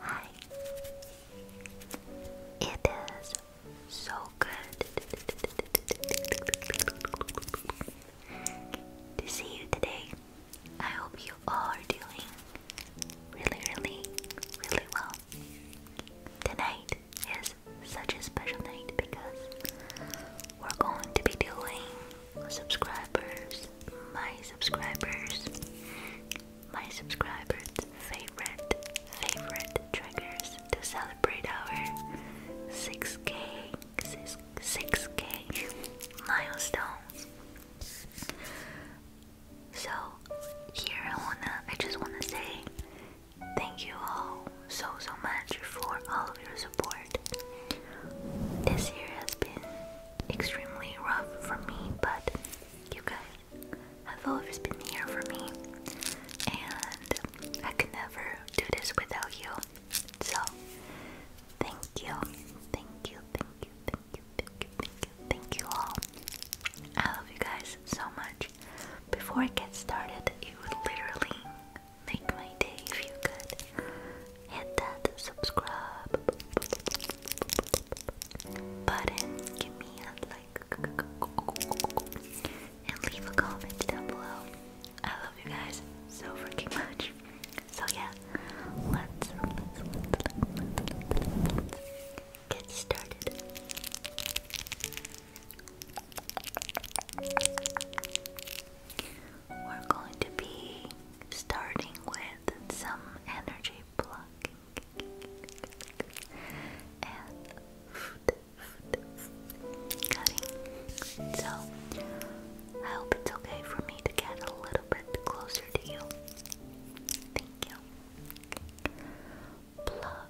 Hi. It is so good to see you today. I hope you are doing really, really, really well. Tonight is such a special night because we're going to be doing subscribers, my subscribers, my subscribers' favorite, favorite triggers to celebrate our 6k, 6, 6k milestones. So here I wanna, I just wanna say Thank you all so so much for all of your support. This year has been extremely rough for me, but you guys have always been here for me, and I could never do this without you. So, thank you, thank you, thank you, thank you, thank you, thank you, thank you all. I love you guys so much. Before I get started, it would literally make my day if you hit that subscribe button, give me a like, and leave a comment down below. I love you guys so freaking much. So yeah, let's, let let's get started. We're going to be starting with some energy block and cutting. So, I hope it's okay for me to get a little bit closer to you. Thank you.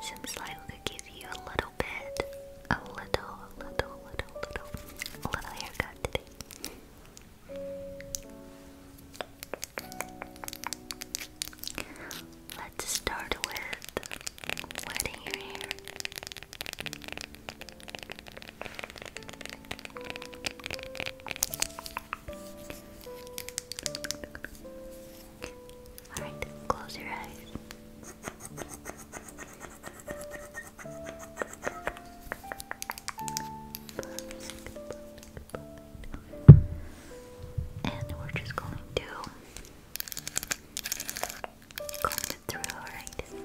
Seems like could give you a little bit, a little, a little, little, little, a little haircut today. Let's start with wetting your hair. Alright, close your eyes. And we're just going to comb through, alright?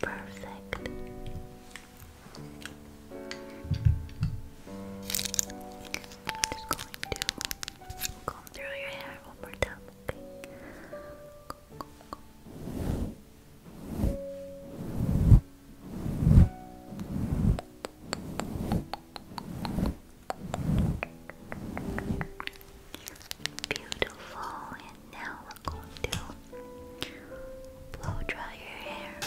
Perfect. Just going to comb through your hair one more time, okay? Beautiful, and now we're going to blow dry your hair.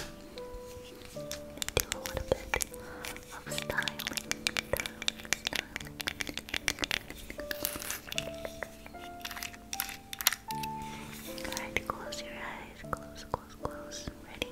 Do a little bit of styling, Alright, close your eyes. Close, close, close. Ready?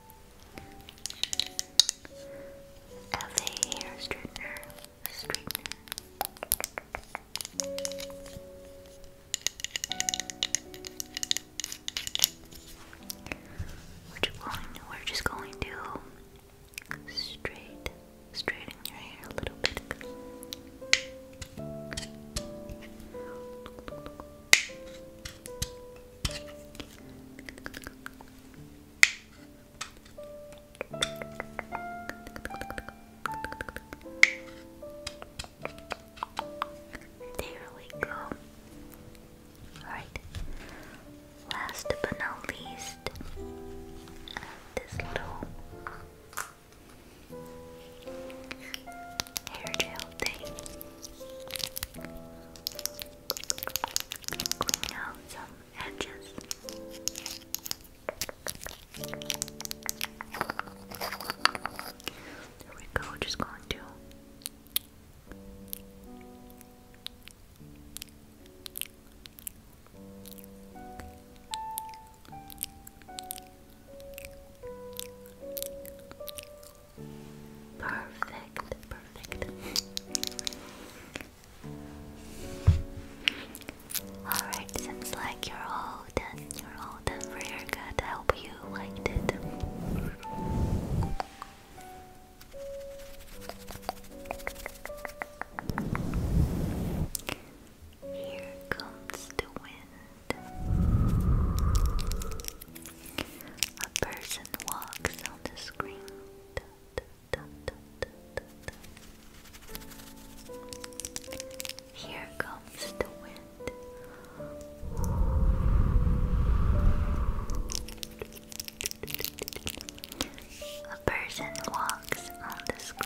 LA hair straightener, straightener. We're just going. We're just going to straight, straighten your hair a little bit. There we go. Alright. Last but not least, this little hair gel thing clean out There we go, just going to Perfect, perfect. Alright, seems like you're all done. You're all done for your good. I hope you liked it. Here comes the wind. A person walks on the screen. Here comes the wind. A person walks on the screen.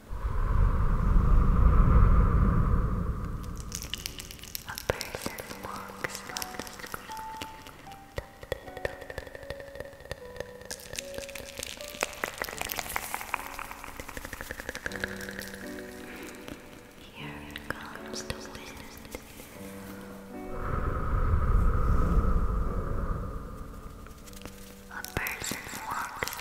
A person walks on the street. Here comes the wind. A person walked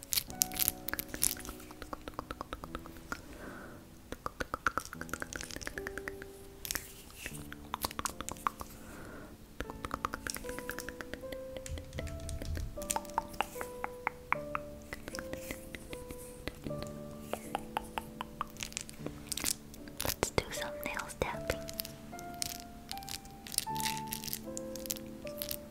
Let's do some nails tapping.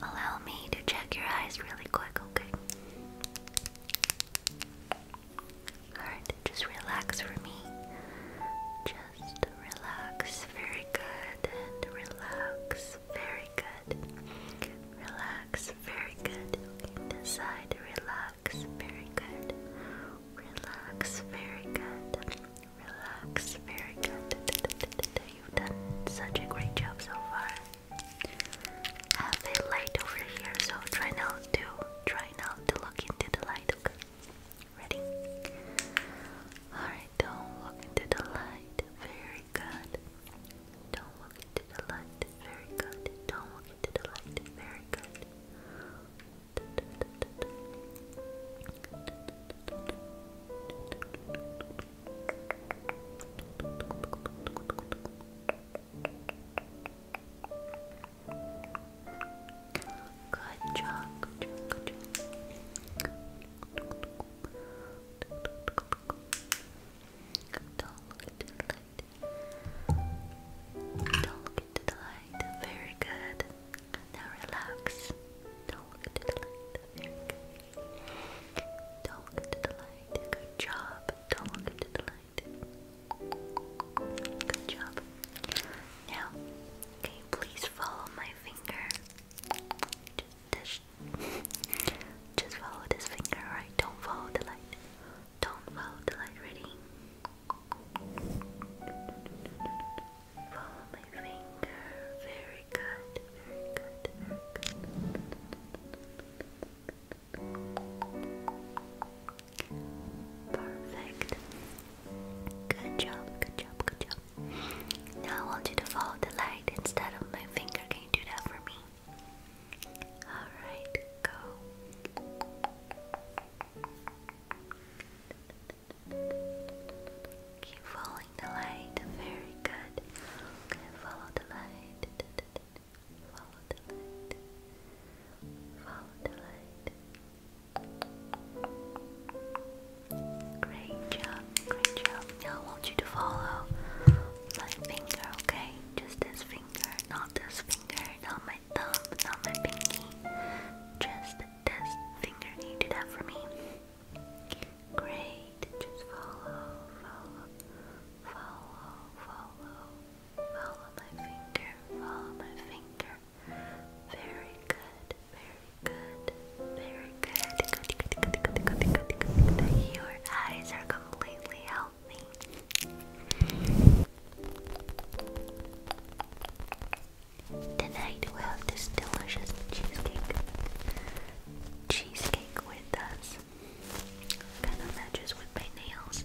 Allow me to check your eyes really quick, okay? Alright, just relax for me. Just relax, very good, and relax, very good. Relax, very good. Okay, this side, relax, very good. Relax, very good. Relax, very good. You've done such a great job so far. I have a light over here, so try not to, try not to look into the light, okay? Ready? Alright, don't look into the light. Very good. Don't look into the light. Very good. Don't look into the light. Very good. Good job, good job, good job. Don't look into the light. Very good. Now relax. Don't look into the light. good. job. Don't look into the light. Good job. Now, Okay, please follow my finger. Just, follow this finger, right? Don't follow the light. Don't follow the light, ready? Follow my finger. Very good, very good, very good. Perfect. Good job, good job, good job. Now I want you to follow the light instead of my finger. Can you do that for me? Alright, go. Keep following the light. Very good. Okay, follow the light. Follow the light. Follow the light. Great job, great job. Now I want you to follow my finger, okay? Just this finger, not this finger, not my thumb, not my pinky. Just this finger. you do that for me? Great. Just follow, follow, follow, follow, follow my finger, follow my finger. Very good, very good, very good. Good, good, good, good, good, good, good, Your eyes are completely healthy. Tonight we have this delicious cheesecake. Cheesecake with us. Kind of matches with my nails.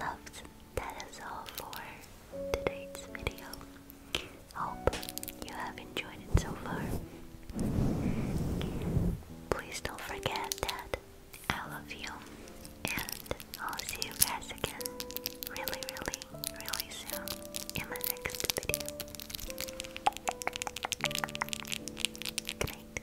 Loves, that is all for today's video. Hope you have enjoyed it so far. Please don't forget that I love you, and I'll see you guys again really, really, really soon in my next video. Good